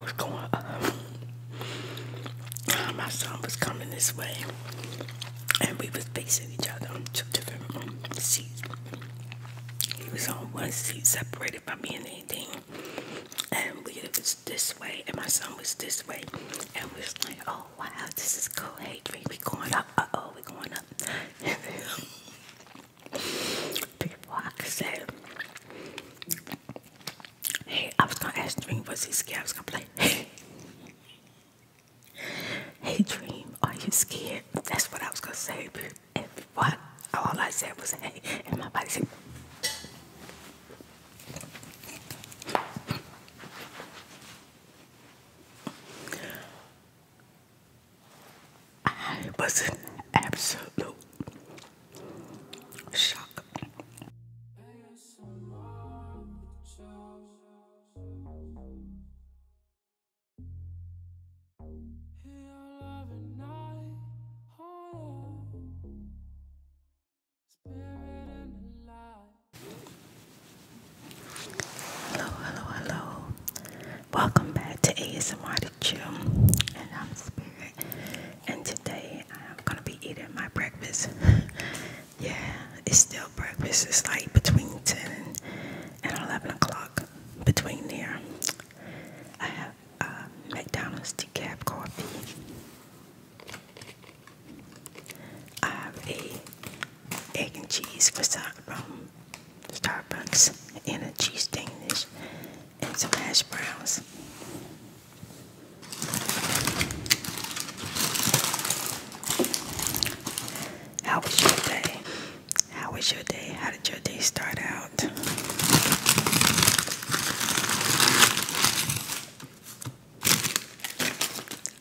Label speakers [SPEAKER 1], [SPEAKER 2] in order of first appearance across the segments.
[SPEAKER 1] was going on. Uh, my son was coming this way, and we was facing each other on two different um, seats. He was on one seat, separated by me and anything, and we was this way, and my son was this way, and we was like, "Oh wow, this is cool. Hey, we going up? oh, we going up." People, I said, Hey, I was gonna ask Dream, was he scared? I was gonna play. Hey, hey, Dream, are you scared? That's what I was gonna say. but what? All I said was hey, and my body said. I was absolute Shock. Hello, hello, hello. Welcome back to ASMR to and I'm Spirit. And today I'm gonna be eating my breakfast. yeah, it's still breakfast. It's like between 10 and 11 o'clock. Between there, I have uh, McDonald's decaf coffee. I have a egg and cheese croissant from um, Starbucks and a cheese Danish and some hash browns. How was your day? How was your day? How did your day start out?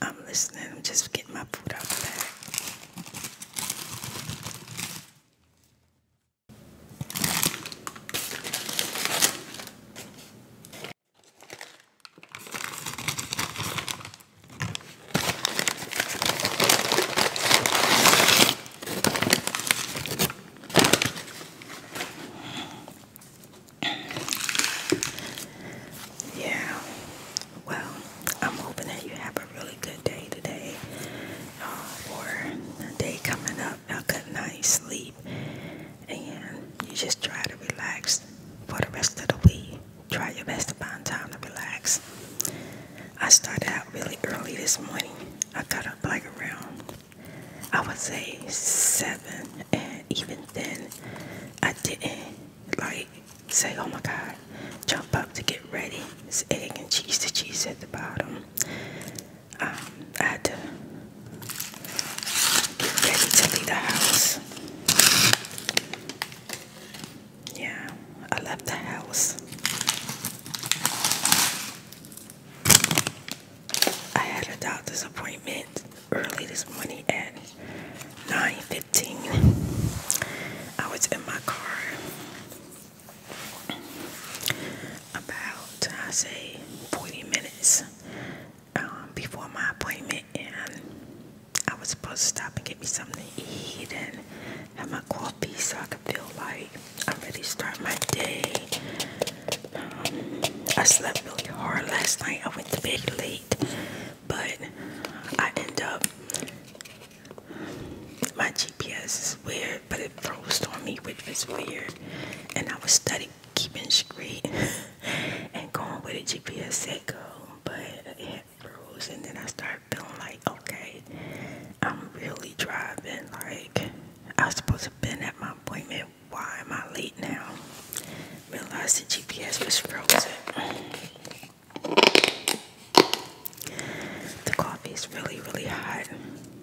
[SPEAKER 1] I'm listening. I'm just getting my food out the bag. Yeah, well, I'm hoping that you have a really good day today uh, or day coming up. I could not sleep. And you just try to relax for the rest of the week. Try your best to find time to relax. I started out really early this morning. I got up like around, I would say seven, and even then, I didn't like say, "Oh my God!" Jump up to get ready. It's egg and cheese. The cheese at the bottom um, I had ready to leave the house. Yeah, I left the house. I had a doctor's appointment early this morning at 9:15. I was in my car about I say 40 minutes um, before my appointment and I was supposed to stop and get me something to eat and have my coffee so I could feel like I'm ready to start my day. Um, I slept really hard last night. I went to bed late, but I end up my GPS is weird but it froze on me, which was weird. And I was studying, keeping straight and going where the GPS said go, but it froze. And then I started feeling like, okay, I'm really driving. Like, I was supposed to be at my appointment. Why am I late now? Realized the GPS was frozen. The coffee is really, really hot.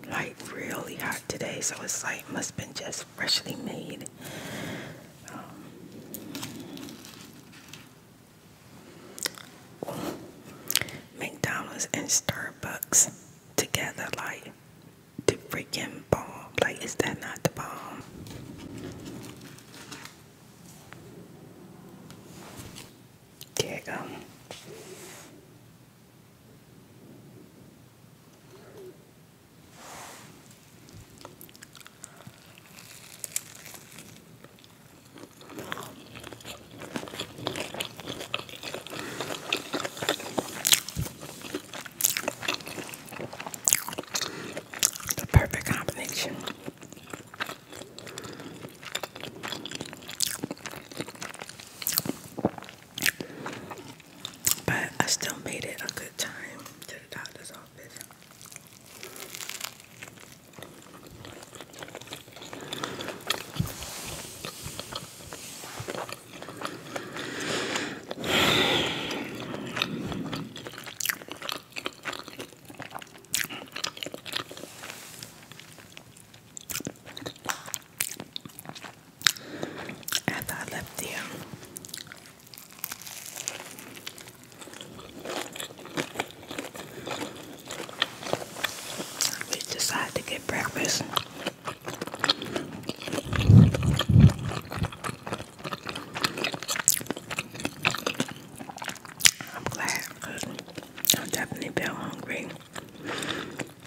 [SPEAKER 1] Like, really hot today, so it's like must have been just freshly made. Um, McDonald's and Starbucks together, like the freaking bomb. Like, is that not the bomb? There you go. The perfect combination. But I still made it a good time to the doctor's office after I left there. We decided to get breakfast. I'm glad because I definitely feel hungry.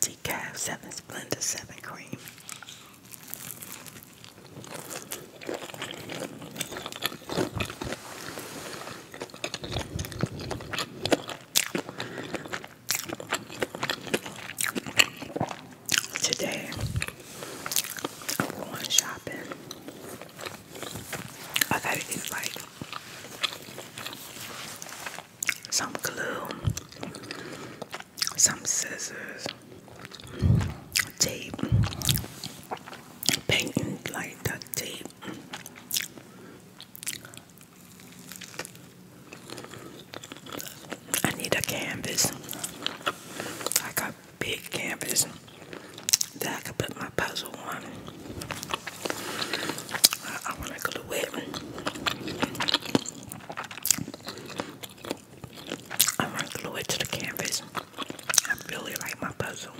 [SPEAKER 1] Decaf seven splendor seven cream. Today, I'm going shopping. I gotta get like some glue, some scissors, tape, painting like duct tape. I need a canvas, I got big canvas that I can put my puzzle on. I, want to glue it. I want to glue it to the canvas. I really like my puzzle.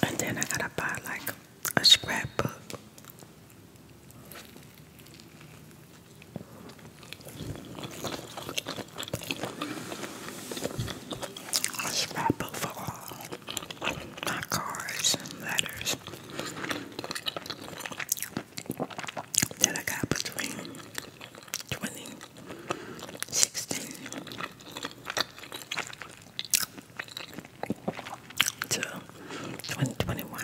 [SPEAKER 1] And then I gotta buy like a scrapbook. A scrapbook for all my cards letters that I got between 2016 to 2021.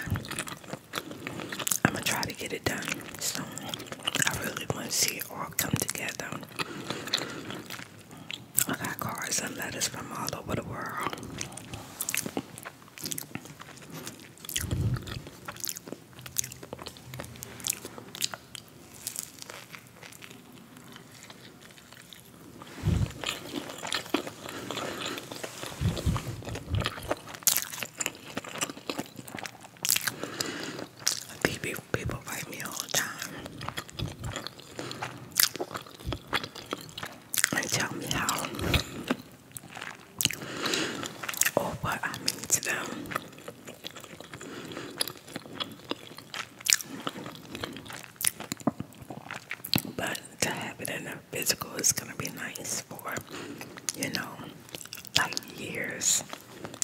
[SPEAKER 1] I'm gonna try to get it it done soon. I really want to see it all come together. I got cards and letters from all over the world. People, people fight me all the time and tell me how or what I mean to them. But to have it in a physical is gonna be nice for you know like years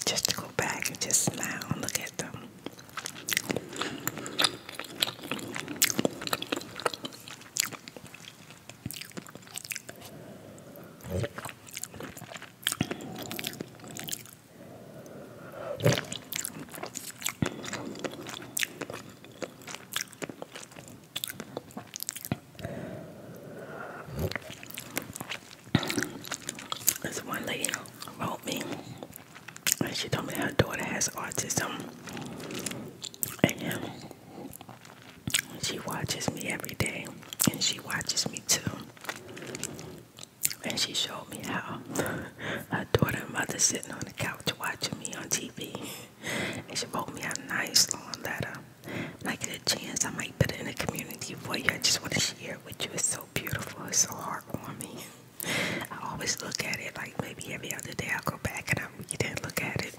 [SPEAKER 1] just to go back and just smile and look at them. This one lady wrote me, and she told me her daughter has autism, and she watches me every day, and she watches me too. And she showed me how her daughter and mother sitting on the couch watching me on TV, and she wrote me a nice long letter. I get a chance, I might put it in a community for you. I just want to share it with you. It's so beautiful. It's so heartwarming. I always look at it like maybe every other day. I'll go back and I read it look at it.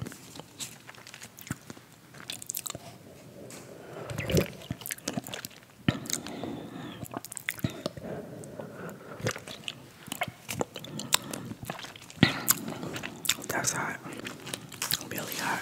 [SPEAKER 1] That's hot, really hot.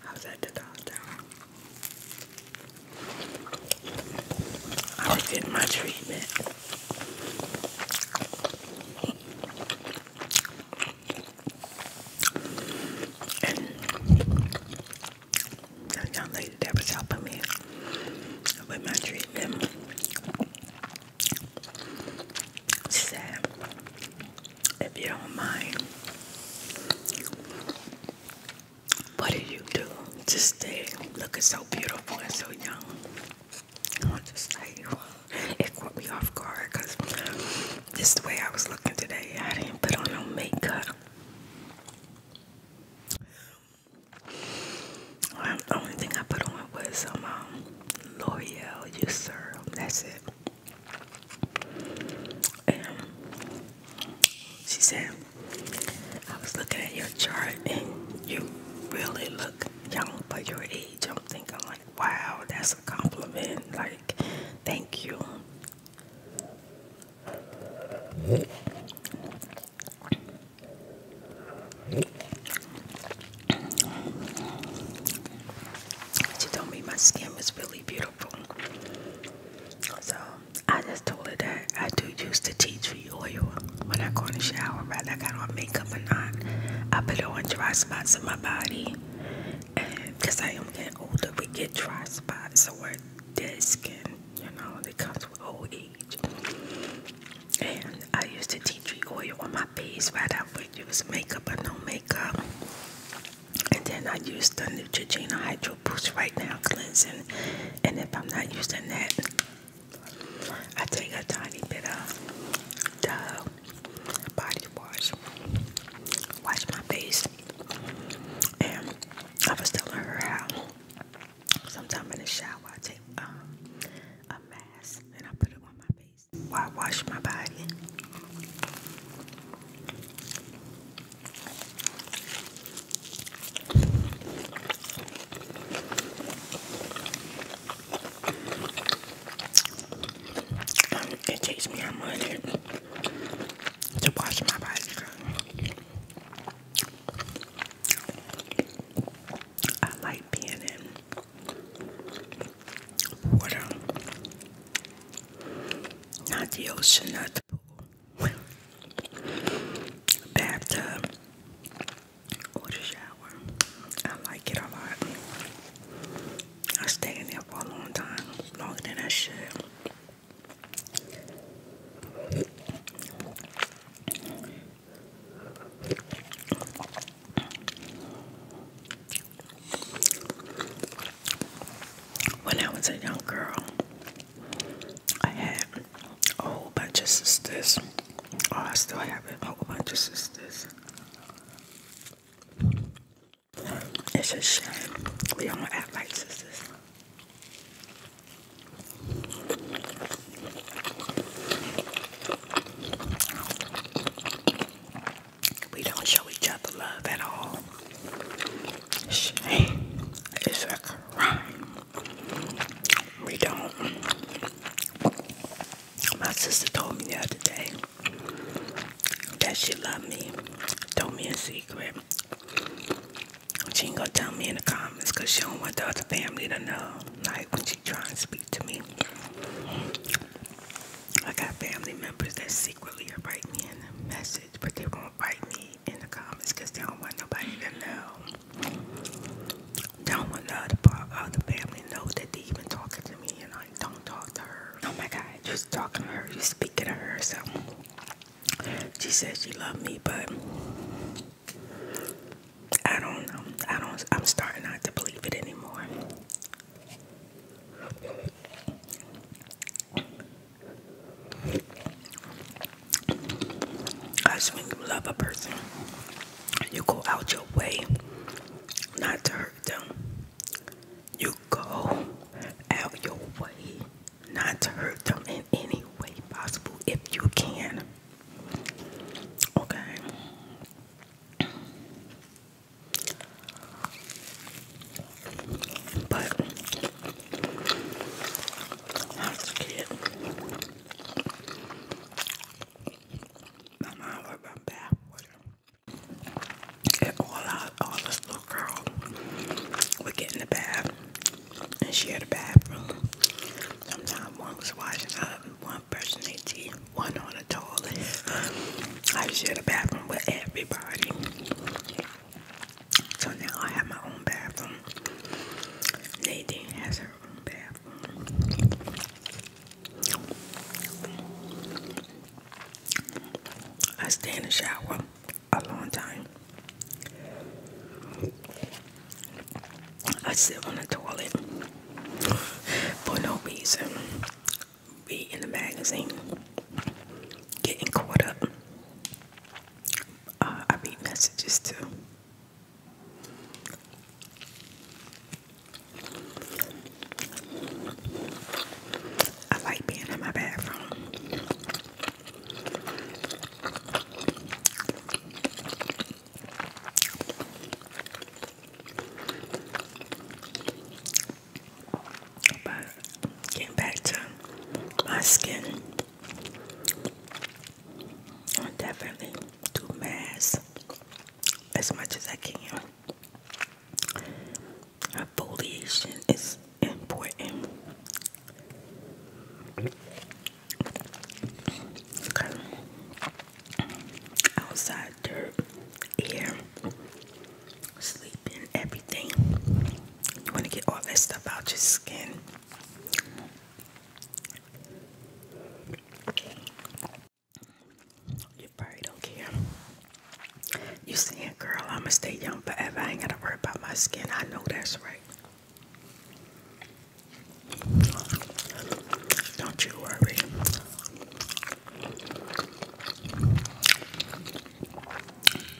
[SPEAKER 1] How's that to I am getting my treatment. that young lady that was helping me with my treatment. said, if you don't mind, what do you do to stay looking so beautiful and so young? I want to say it caught me off guard because just the way I was looking today, I didn't put on no makeup. Um, the only thing I put on was some um, um, L'Oreal User. That's it. she said, I was looking at your chart and you really look young for your age. I'm thinking like, wow, that's a compliment. Like, thank you. She told me my skin was really beautiful. So I just told her that I do use the tea tree oil when I go in the shower, rather I got on makeup or not. I put it on dry spots on my body. because I am getting older, we get dry spots. So we're dead skin. You know, it comes with old age. And I used to tea tree oil on my face, but I use makeup or no makeup. And then I use the Neutrogena Hydro Boost Right Now Cleansing. And if I'm not using that, I take a tiny bit of the body wash, wash my face, and I was telling her how sometimes in the shower I take um, a mask and I put it on my face while I wash my body. Um, it takes me a minute to wash my body. I like being in water, not the ocean, not the pool, bathtub, or the shower. I like it a lot. I stay in there for a long time, longer than I should. When I was a young girl, I had a whole bunch of sisters. Oh, I still have a whole bunch of sisters. It's a shame. We don't act like sisters. We don't show each other love at all. Shame is a crime. We don't. My sister told me that today that she loved me, told me in secret. She ain't gonna tell me in the comments because she don't want the other family to know. Like when she try to speak to me. I got family members that secretly write me in the message, but they won't write me in the comments because they don't want nobody to know. They don't want the other, other family know that they even talking to me and I don't talk to her. Oh my God, just are talking to her, just are speaking to her, so she says she loves me, but I don't know. I don't. I'm starting not to believe it anymore. That's when you love a person, you go out your way not to hurt them. You go out your way not to hurt them in any way possible if you can. Okay. But that's kid. My mom was my bath water and all our, all this little girl would get in the bath, and she had a bathroom. Sometimes one was washing up, one brushing teeth, one on the toilet. I shared a bathroom with everybody. So now I have my own bathroom. Lady has her own bathroom. I stay in the shower a long time. I sit on the toilet for no reason, Be in the magazine, getting caught up. Uh, I read messages too. I like being in my bathroom. But getting back to my skin, I definitely do masks as much as I can. Foliation is important. Cause outside dirt, air, sleeping, everything. You want to get all that stuff out your skin. You probably don't care. You see it, girl. I'ma stay young forever. I ain't gotta worry about my skin. I know that's right. Don't you worry.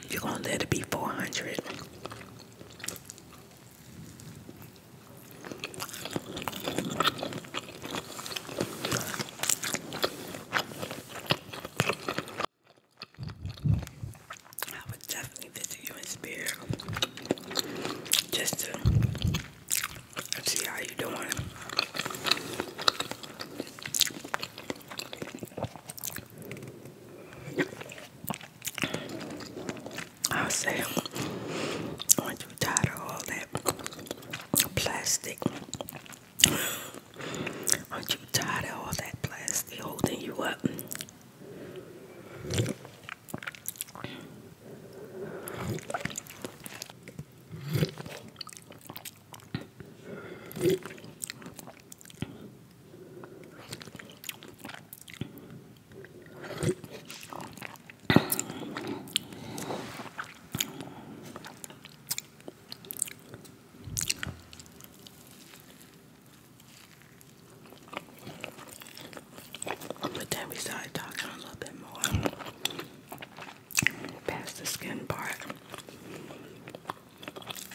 [SPEAKER 1] You're gonna be 400. I would definitely visit you in spirit just to see how you're doing. I'll say not you tired of all that plastic Aren't you tired of all that plastic holding you up? But then we started talking a little bit more past the skin part.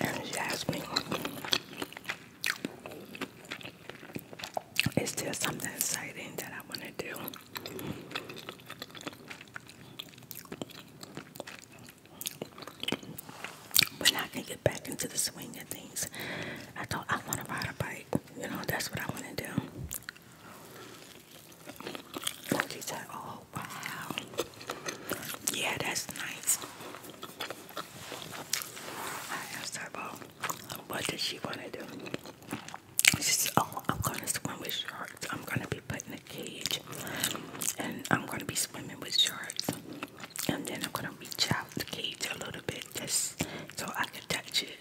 [SPEAKER 1] And she asked me, is there something exciting that I want to do? when I can get back into the swing of things. I thought I want to ride a bike. You know, that's what I want to do. She said, "Oh wow, yeah, that's nice." I asked her what did she want to do. She said, "Oh, I'm gonna swim with you." I'm gonna be put in a cage and I'm gonna be swimming with sharks. And then I'm gonna reach out the cage a little bit just so I can touch it.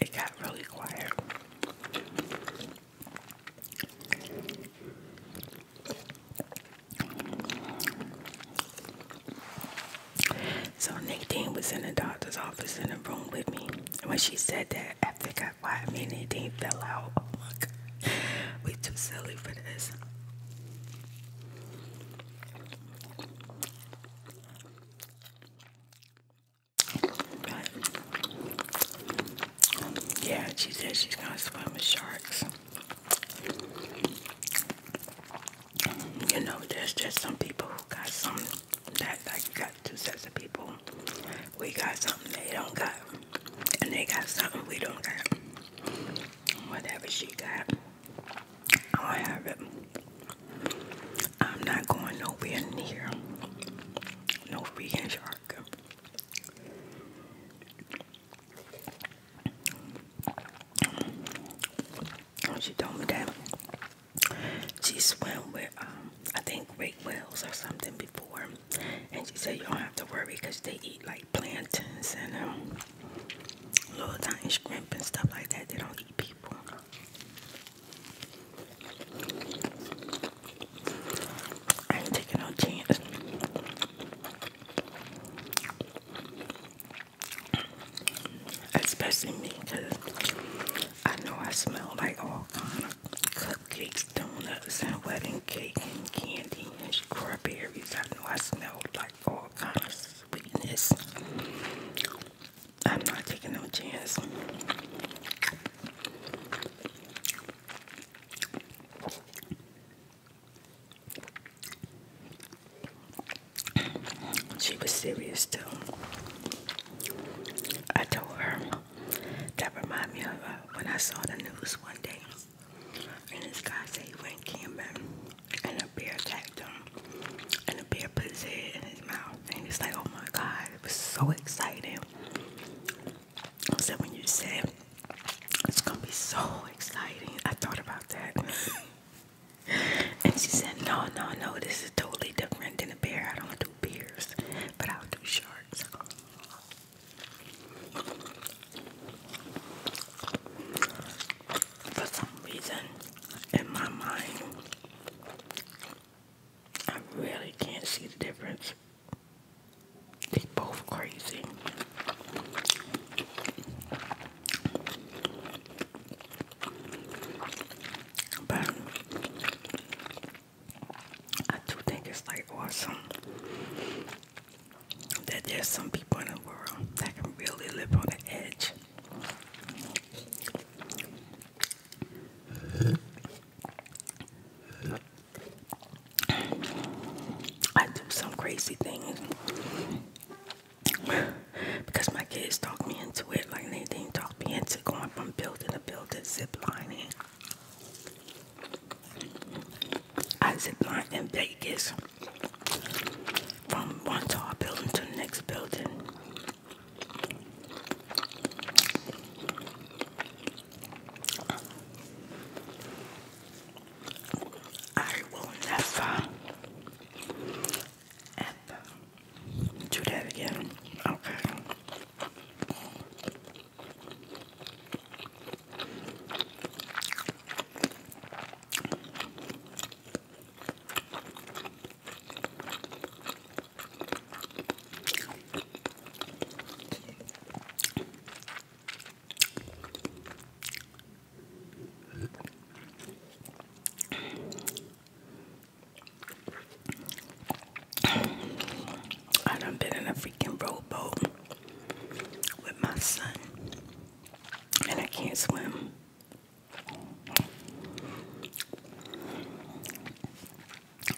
[SPEAKER 1] It got really quiet. So Nadine was in the doctor's office in the room with me when she said that, I forgot why I mean anything fell out. Oh my god, we too silly for this. yeah, she said she's gonna swim with sharks. You know, there's just some people who got some that like got two sets of people. We got something they don't got, and they got something we don't got. Whatever she got, I'll have it. I'm not going nowhere near no freaking shark when she told me that she swam with um I think great whales or something before, and she said you don't have to worry because they eat like plantains and um, little tiny shrimp and stuff like that. They don't eat people. I ain't taking no chance. Especially me, because I know I smell like all kind of cupcakes, donuts, and wedding cake and candy and strawberries. I know I smell like all kind of sweetness. I'm not taking no chance. She was serious too. I told her that reminded me of uh, when I saw the news one day, and this guy said he went camping, and a bear attacked him, and the bear put his head in his mouth, and he's like, oh my god, it was so exciting. I said when you said it's gonna be so exciting, I thought about that. And she said, No, no, no, this is totally different than a bear. I don't do bears, but I'll do sharks. For some reason, in my mind, I really can't see the difference. They are both crazy. But I do think it's like awesome that there's some people in the world that can really live on the edge. I do some crazy things because my kids talked me into it like they didn't talk me into going from building to building ziplining. I ziplined in Vegas from one tall building to the next building. I will never and do that again. Okay. I done been in a freaking rowboat with my son, and I can't swim.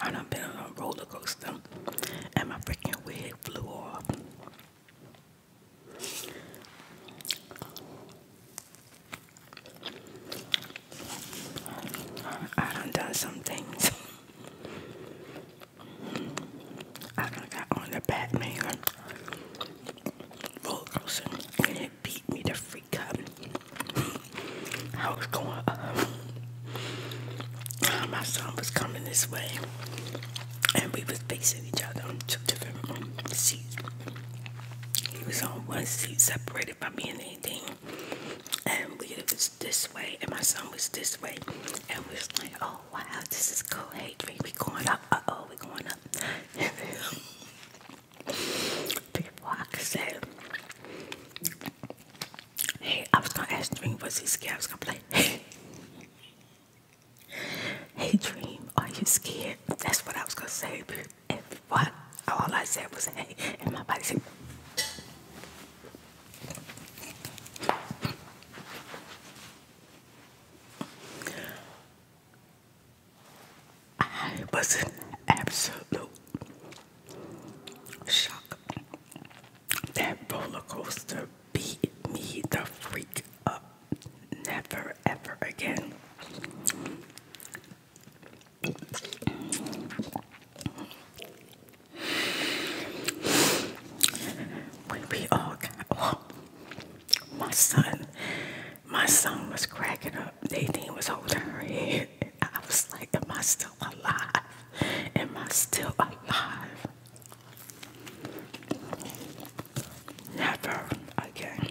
[SPEAKER 1] I done been on a roller coaster, and my freaking wig flew off. I done done some things. I done got on the Batman roller coaster and it beat me to freak up. I was going up. My son was coming this way and we was facing each other on two different seats. He was on one seat separate about me anything. And we was this way, and my son was this way, and we was like, oh wow, this is cool. Hey, dream, we going up. Uh oh, we going up. Before I could say, hey, I was gonna ask Dream, was he scared? I was gonna play. Hey. Hey Dream, are you scared? That's what I was gonna say and what? All I said was hey, and my body said. I was in absolute shock. That roller coaster beat me the freak up. Never ever again we all got oh, my son, my son was cracking up. Nadine was holding her head. I was like, Am I still alive? Am I still alive? Never again.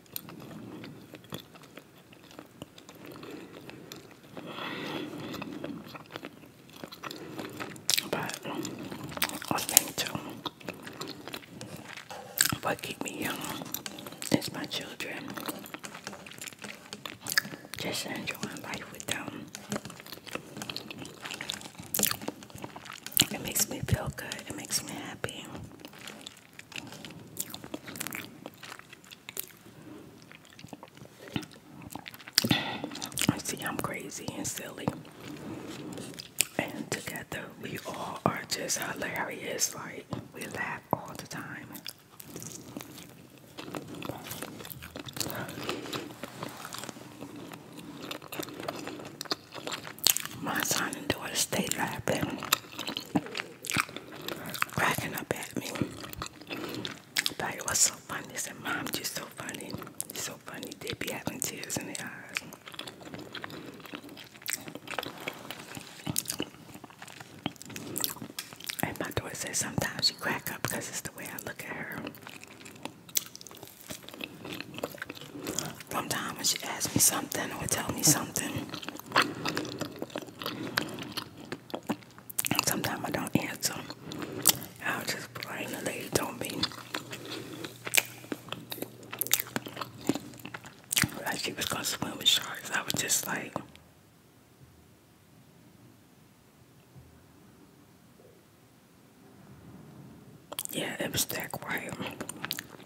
[SPEAKER 1] But I think keep me young is my children. Just enjoying life with them. It makes me feel good. It makes me happy. I see I'm crazy and silly. And together we all are just hilarious. Like we laugh all the time. My son and daughter stayed laughing, cracking up at me. But was so funny. They said, Mom, you're so funny. You're so funny. They be having tears in their eyes. And my daughter says sometimes you crack up because it's the way I look at her. Sometimes when she asks me something or tell me something, sometimes I don't answer. I'll just blame the lady don't be. Like she was gonna swim with sharks. I was just like Yeah, it was that quiet. Some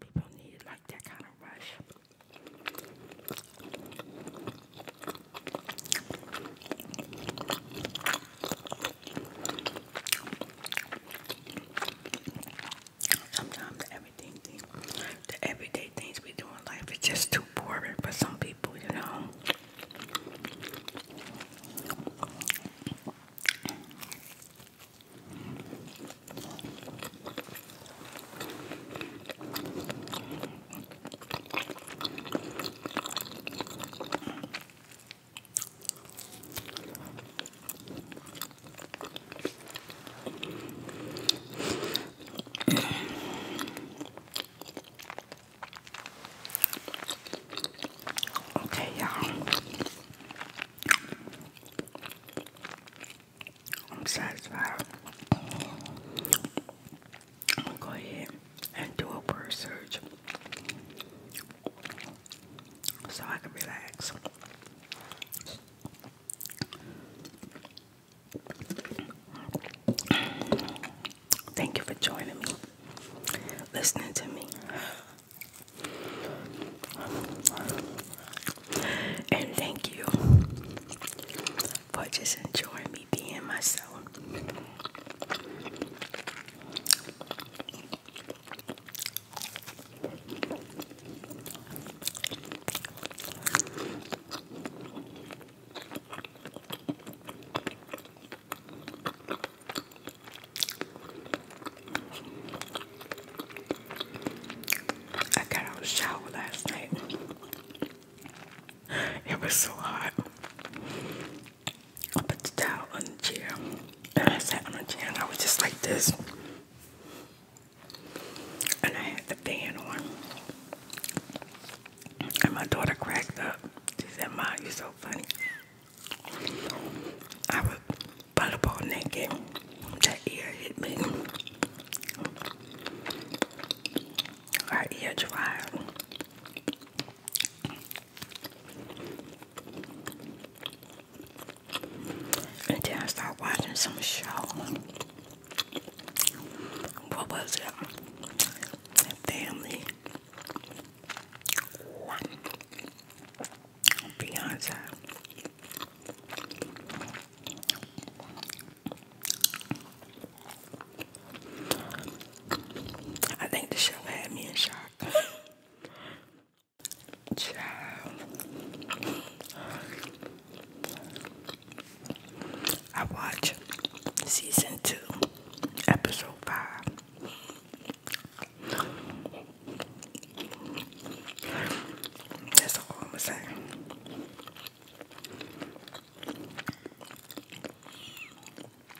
[SPEAKER 1] people need like that kind of rush. Sometimes everything, the everyday things we do in life is just too boring for some people, you know. Okay, y'all. I'm satisfied. I'm go ahead and do a word search so I can relax. Thank you for joining me, listening to me, and thank you for just enjoying me being myself. I got out of the shower last night. It was so hot. I put the towel on the chair and I sat on the chair and I was just like this. And I had the fan on. And my daughter cracked up. She said, "Mom, you're so funny. I was volleyball naked. That ear hit me. Our ear dried. And I started watching some show. What was it? Family. Beyonce. I think the show had me in shock. I watch season two, episode five. That's all I'm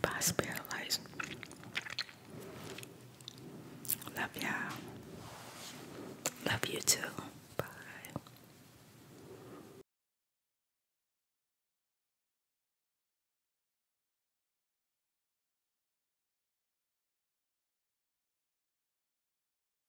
[SPEAKER 1] Pass By spirit lights. Love y'all. Love you too. Bye.